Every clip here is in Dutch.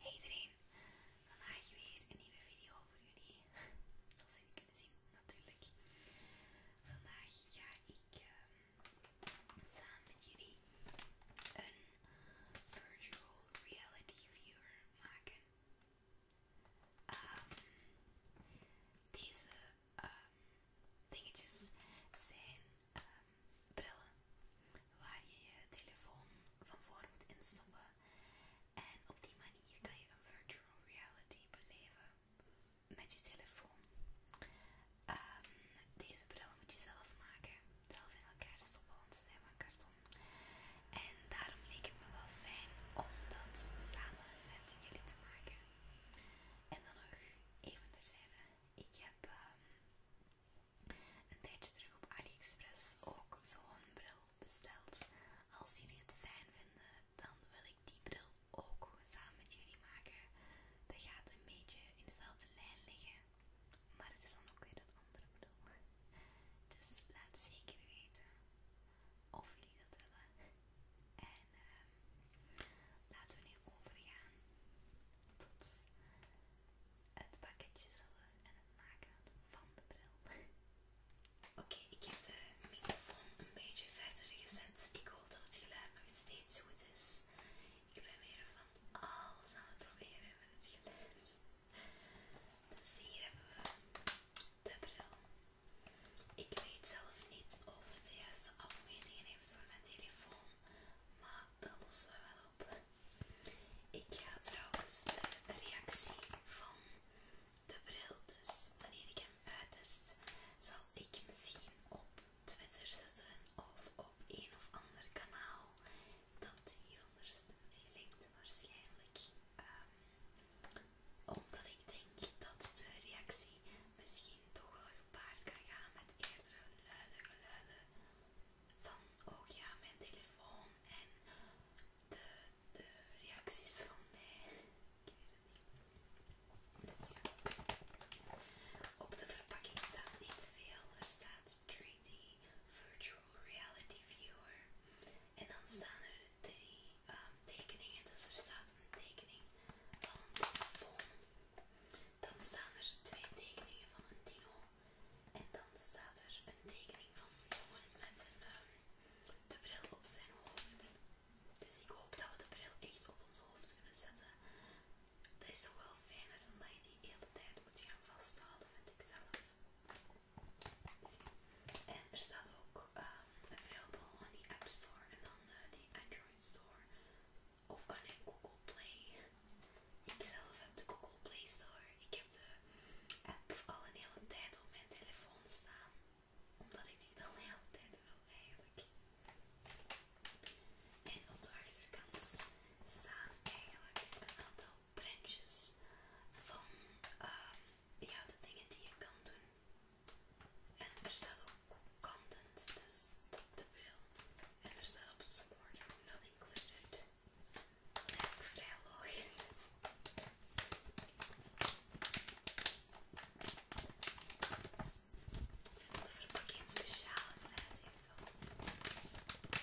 Hey iedereen, vandaag weer een nieuwe video voor jullie. Dat zin kunnen zien, natuurlijk. Vandaag ga ik ehm, samen met jullie een virtual reality viewer maken. Ehm, deze Um, dingetjes zijn um, brillen waar je je telefoon van voor moet instappen en op die manier kan je een virtual reality beleven met je telefoon. Um, deze bril moet je zelf maken, zelf in elkaar stoppen, want ze zijn van karton. En daarom leek het me wel fijn om dat samen met jullie te maken. En dan nog even te terzijde. Ik heb ehm, een tijdje terug op AliExpress ook zo'n bril besteld. Als jullie het fijn vinden, dan wil ik die bril ook samen met jullie maken. Dat gaat een beetje in dezelfde lijn liggen, maar het is dan ook weer een andere bril. Dus laat zeker weten of jullie dat willen. En ehm, laten we nu overgaan tot het pakketje zelf en het maken van de bril. Oké, ik heb de microfoon een beetje verder gezet. Ik hoop dat het geluid nog steeds goed is. Ik ben weer van alles aan het proberen met het geluid. Dus hier hebben we de bril. Ik weet zelf niet of het de juiste afmetingen heeft voor mijn telefoon, maar dat lossen we wel op. Ik ga trouwens de reactie van de bril, dus wanneer ik hem uitest, zal ik misschien op Twitter zetten of op een of ander kanaal dat hieronder is gelinkt waarschijnlijk. Ehm, omdat ik denk dat de reactie misschien toch wel gepaard kan gaan met eerdere luide geluiden van oh ja, mijn telefoon en de, reacties van mij. Ik het niet. Dus Op de verpakking staat niet veel. Er staat 3D Virtual Reality Viewer. En dan staan er drie ehm, tekeningen. Dus er staat een tekening van een telefoon. Dan staan er twee tekeningen van een dino. En dan staat er een tekening van een jongen met een, ehm, de bril op zijn hoofd. Dus ik hoop dat we de bril echt op ons hoofd kunnen zetten. Dat is toch wel fijner dan dat je die hele tijd moet gaan vasthouden, vind ik zelf. En er staat ook ehm, available on die App Store en dan eh, die Android. Store of alleen Google Play. Ik zelf heb de Google Play Store. Ik heb de app al een hele tijd op mijn telefoon staan. Omdat ik die al een hele tijd wil eigenlijk. En op de achterkant staan eigenlijk een aantal printjes van ehm, ja, de dingen die je kan doen en er staat ook content, dus dat de bril. En er staat op smartphone not included. Dat eigenlijk vrij logisch. De verpakking speciaal eruit heeft al.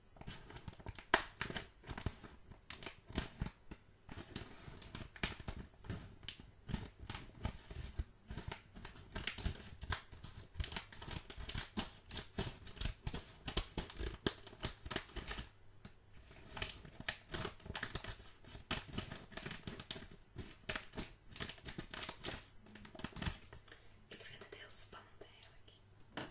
Ik vind het heel spannend eigenlijk. Ik ga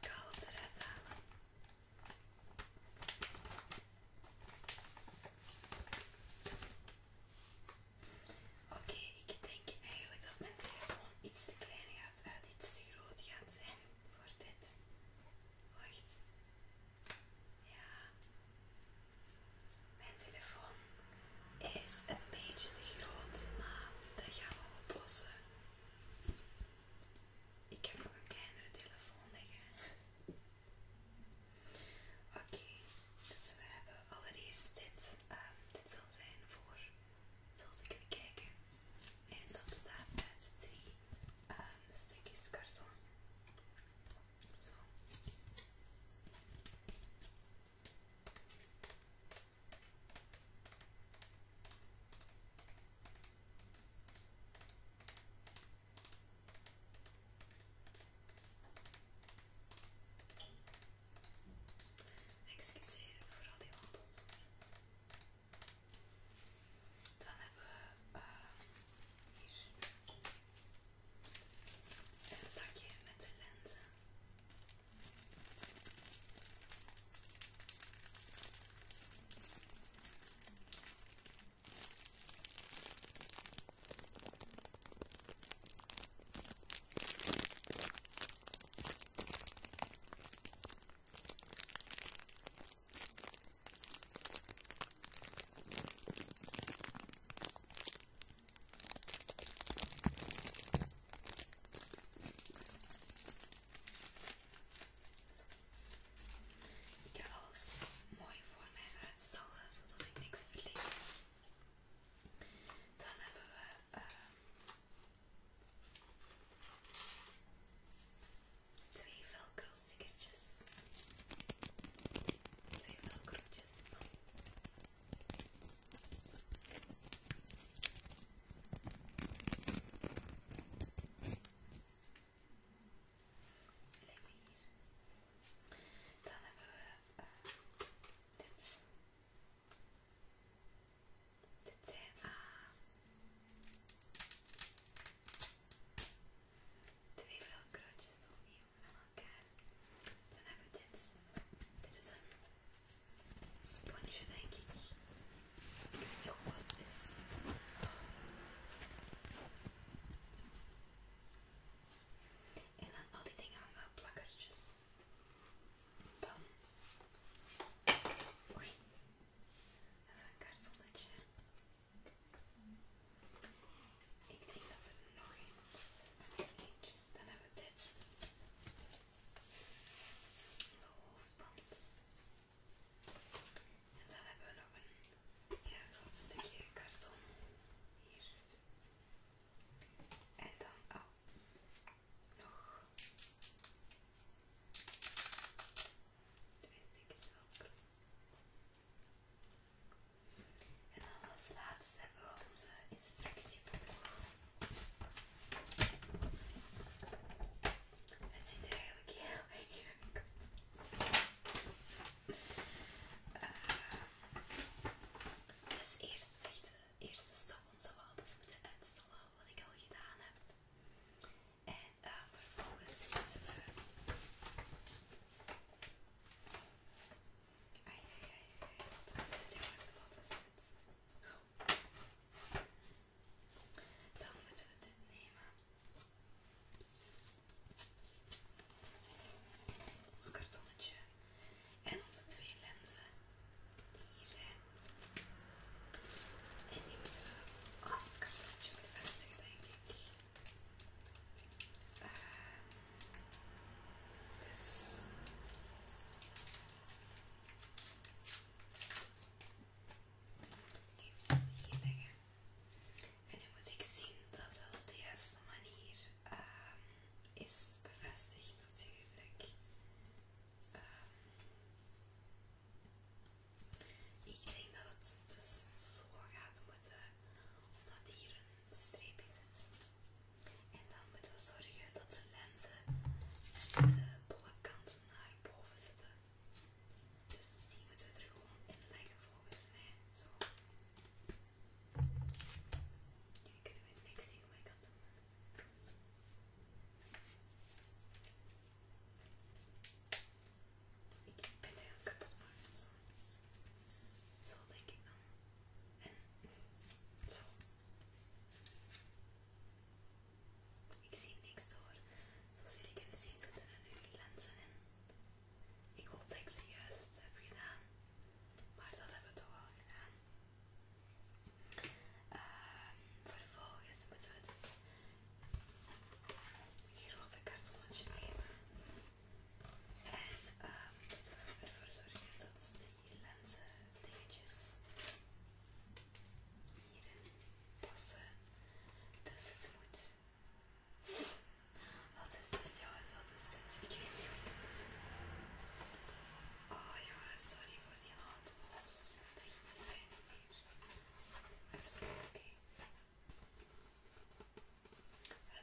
het eruit Oké, ik denk eigenlijk dat mijn telefoon iets te klein gaat, uit iets te groot gaat zijn voor dit. Wacht. Ja. Mijn telefoon is een beetje te groot, maar dat gaan we oplossen. Ik heb nog een kleinere telefoon liggen. Oké, dus we hebben allereerst dit. Ehm, dit zal zijn voor. Zoals ik even kijken. En dan staat uit 3, um, ehm, sticky karton. Zo. Excuseer voor al die dan hebben we uh, hier een zakje met de lenzen. Ik ga alles mooi voor mij uitstellen zodat ik niks verlies. Dan hebben we. Ehm, twee velcro stickertjes, twee velcrootjes. Lijkt Dan hebben we eh, dit. Dit zijn uh, eh, twee velcrootjes opnieuw aan elkaar. Dan hebben we dit. Dit is een sponsje, denk ik. weet niet het is. En dan al die dingen aan plakertjes Dan. Oei. Ah, een kartonnetje. Ik denk dat er nog een is. Dan hebben we dit. Onze hoofdband. En dan hebben we nog een groot stukje karton. Hier. En dan, oh, nog Twee stukjes ook. En dan als laatste hebben we onze instructieboek. Het ziet er eigenlijk heel erg uit. Uh, dus eerst zegt de eerste stap onze zo alles moeten uitstellen wat ik al gedaan heb. En eh, vervolgens zitten we. Ai, Dan moeten we dit nemen. Ons kartonnetje. En onze twee lenzen. Hier zijn. Ehm, en die moeten we... Oh, het kartonnetje moet vestigen, denk hier En nu moet ik zien dat op de juiste manier um, is bevestigd natuurlijk. Um, ik denk dat het dus zo gaat moeten, omdat hier een streep is. En dan moeten we zorgen dat de lenzen en de bolle naar boven zitten. Dus die moeten we er gewoon in leggen volgens mij. Zo. Jullie kunnen we niks zien, maar ik kan ik heb er een kapot van. Dus zo. denk ik dan. En zo. Ik zie niks door. Zoals jullie kunnen zien zitten er nu lenzen in. Ik hoop dat ik ze juist heb gedaan. Maar dat hebben we toch al gedaan. Ehm, vervolgens moeten we dit grote kartonnetje nemen. En moeten ehm, we ervoor zorgen dat die lenzen dingetjes hierin passen. Dus het moet. Wat is dit jongens? Wat is dit? Ik weet niet wat ik moet doen. Oh jongens, sorry voor door die hout los. Dat Het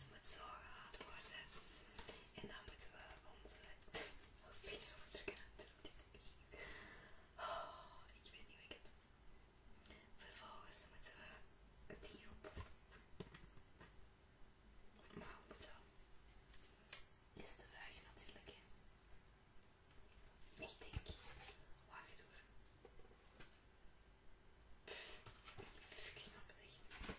Okay. zo gehaald worden. En dan moeten we onze vinger op drukken. Oh, ik weet niet wat ik heb. Vervolgens moeten we het hierop. Maar dat? Is de vraag natuurlijk. Hè? Ik denk, wacht hoor. Pff, ik snap het echt niet.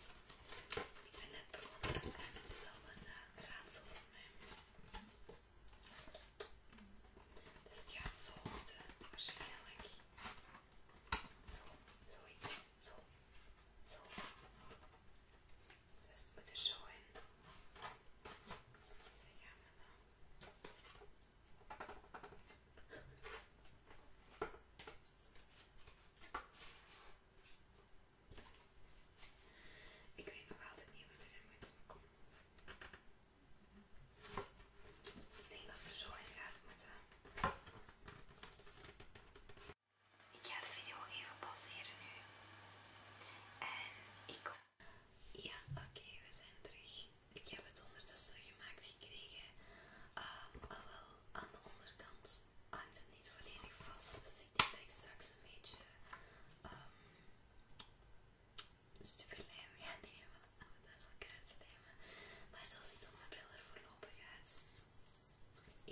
Ik ben net begonnen en het is al een raadsel voor mij. Dus het gaat zo moeten, waarschijnlijk. Zo, zoiets, zo, zo. Dus het moet er zo in. Daar gaan dan. Ik weet nog altijd niet hoe het erin moet komen. Ik denk dat er zo in gaat moeten. Ik ga de video even pauzeren nu. En ik ja, oké, we zijn terug. Ik heb het ondertussen gemaakt gekregen. Ehm, al ah, wel aan de onderkant hangt het niet volledig vast. Dus ik denk dat ik straks een beetje um, lijmen, ja nemen om het aan het Maar zo ziet onze bril er voorlopig uit.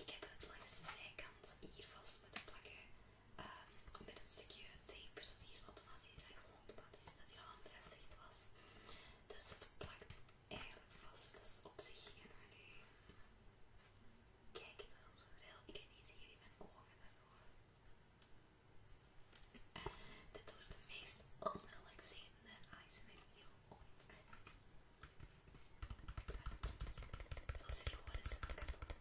Ik heb het langs de zijkant hier vast moeten plakken met een stukje tape dat hier automatisch, dat gewoon automatisch, dat hier al aan bevestigd was. Dus het plakt eigenlijk vast. Dus op zich kunnen we nu kijken naar onze bril. Ik kan niet zien in mijn ogen daardoor. Eh, dit wordt de meest onrelaxerende ASMR video ooit. Zoals jullie horen zijn elkaar tot.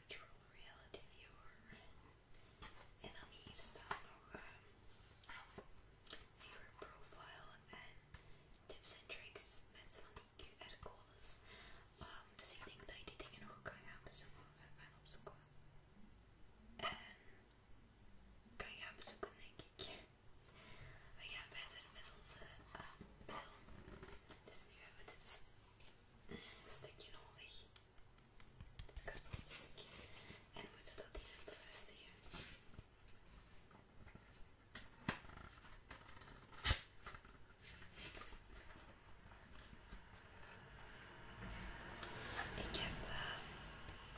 virtual reality viewer. En dan hier staat nog een viewer profile en tips en tricks met van die QR-codes. Um, dus ik denk dat je die dingen nog kan gaan bezoeken en opzoeken. En kan je gaan bezoeken denk ik. We gaan verder met onze uh, Dus nu hebben we dit een stukje nodig. kartonstukje. En we moeten dat even bevestigen. Ik heb eh,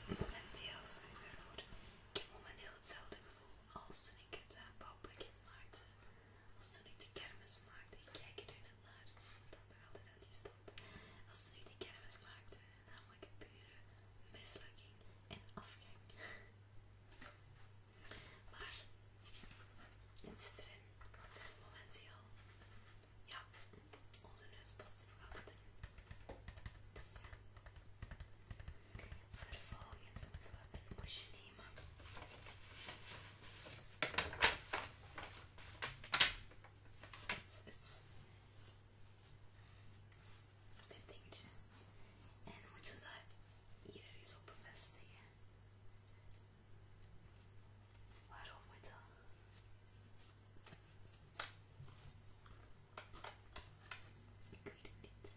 een momenteel, sorry ik heb momenteel hetzelfde gevoel als toen ik het uh, bouwpakket maakte. Als toen ik de kermis maakte, ik kijk er nu naar, het stond dan nog altijd uit die stad. Als toen ik de kermis maakte, namelijk pure mislukking en afgang. maar het zit erin, dus momenteel, ja, onze neus past er nog altijd in. Dus Vervolgens moeten we een poesje nemen. It's, it's dit dingetje. En dan moeten we dat hier eens op bevestigen. Waarom moet dat? Ik weet het niet. Het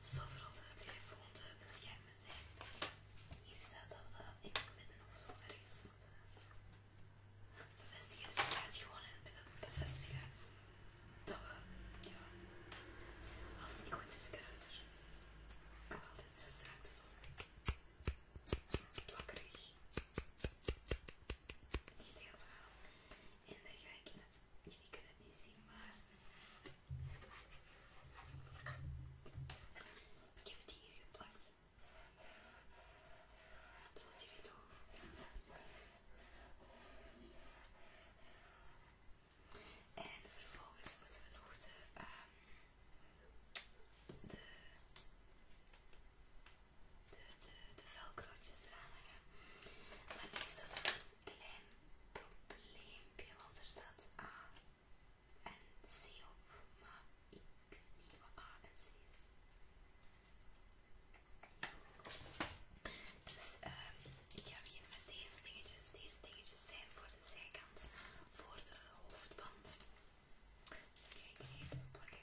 is dat je te beschermen. Hier staat dat we dat in het midden of zo ergens moeten bevestigen. Dus we gaan gewoon in het midden bevestigen. Dat we, ja, als het niet goed is, kunnen het er altijd zes raakte zo. Plakkerig. Niet heel verhaal. En dan ga ik, jullie kunnen het niet zien, maar ik heb het hier geplakt. Het zal jullie toch. En vervolgens moeten we nog de, um, de, de, de, de velcrootjes eraan hangen. Maar nu is klein probleempje, want er staat A en C op, maar ik weet niet wat A en C is. Dus ehm, ik heb hier met deze dingetjes. Deze dingetjes zijn voor de zijkant, voor de hoofdband Dus ga hier hier plakken.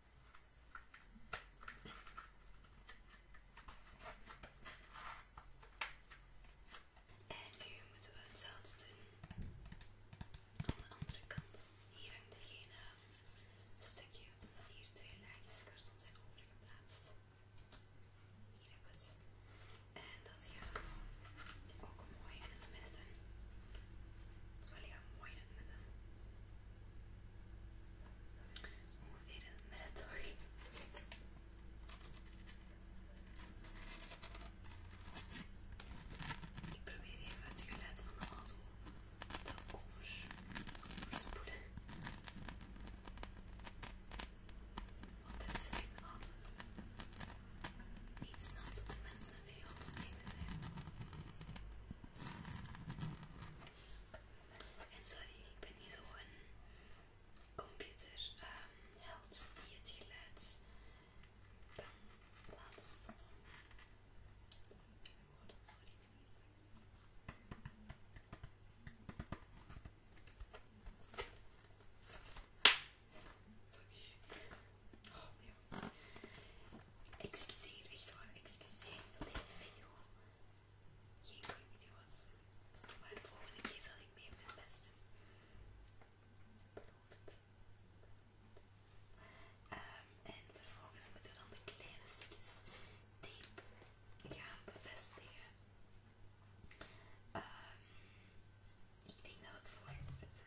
En nu moeten we hetzelfde doen aan de andere kant. Hier heb er geen stukje, omdat hier twee laagjes karton zijn overgeplaatst. Hier heb het. En dat gaat ook mooi in het midden doen. Alleen mooi in het midden. Ongeveer in het Ik probeer even het geluid van de auto te overs overspoelen. Want dit is weer een auto niet snel de mensen een video opnemen zijn. En sorry, ik ben niet zo'n computerheld ehm, die het geluid kan laten sorry. Oh, Excuseer, echt waar, excuseer voor deze video geen goede video's. Maar de volgende keer zal ik meer mijn best doen. en vervolgens moeten we dan de kleine stukjes diep gaan bevestigen. ik denk dat het voor het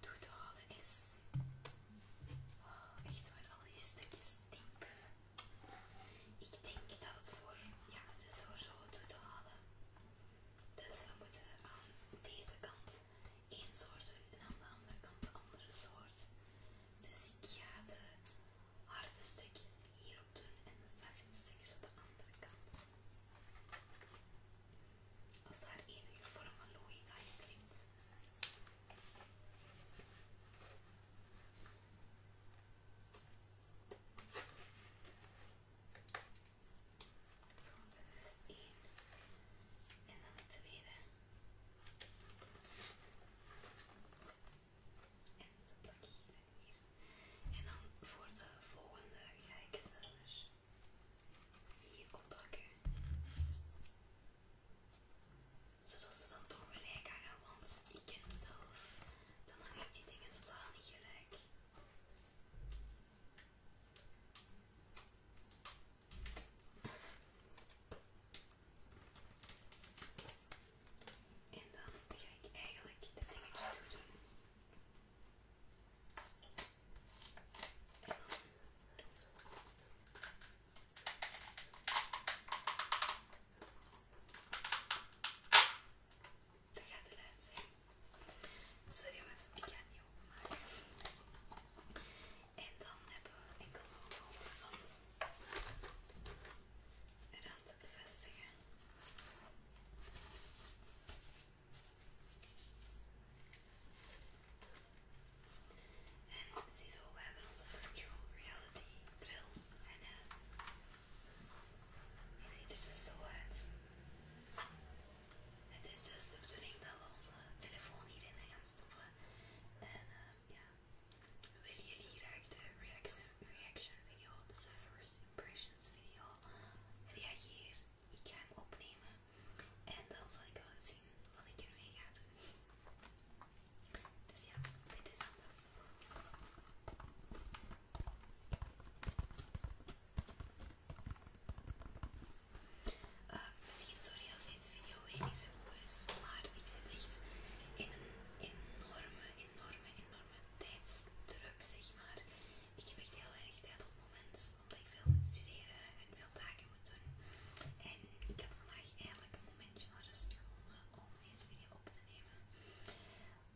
toe te is. Oh, echt waar, al die stukjes diep. Ik denk dat het voor, ja, het is voor zo te halen. Dus we moeten aan deze kant één soort doen en aan de andere kant de andere soort. Dus ik ga de harde stukjes hierop doen en de zachte stukjes op de andere kant. Als daar enige vorm van logica in klinkt. Zo, is één. En dan het tweede. En zo hier. En dan voor de volgende ga ik zelfs hier op zodat ze dan toch gelijk hangen, want ik ken mezelf. Dan hang ik die dingen totaal niet gelijk. En dan ga ik eigenlijk de dingetjes toe doen. Dat gaat de laatste. Sorry jongens, ik ga het niet En dan hebben we enkel nog het onderkant eraan te bevestigen. En ziezo, we hebben onze virtual reality film En eh, ziet er dus zo uit. Het is dus de bedoeling dat we onze telefoon hierin gaan stoppen. En eh, ja, we willen jullie graag de reaction, reaction video, dus de first impressions video, reageren? Ik ga hem opnemen en dan zal ik wel zien wat ik ermee ga doen. Dus ja, dit is alles eh, misschien, sorry als deze video wenig simpel is, maar ik zit echt in een enorme, enorme, enorme tijdsdruk, zeg maar. Ik heb echt heel weinig tijd op het moment, omdat ik veel moet studeren en veel taken en ik had vandaag eigenlijk een momentje naar rust om deze video op te nemen.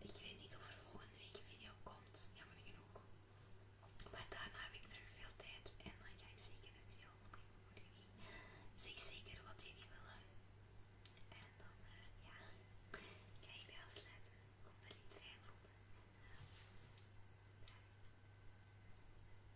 Ik weet niet of er volgende week een video komt, jammer genoeg. Maar daarna heb ik er veel tijd en dan ga ik zeker een video opnemen voor jullie. zeker wat jullie willen. En dan, eh, ja, ga ik weer afsluiten. Ik er niet jullie het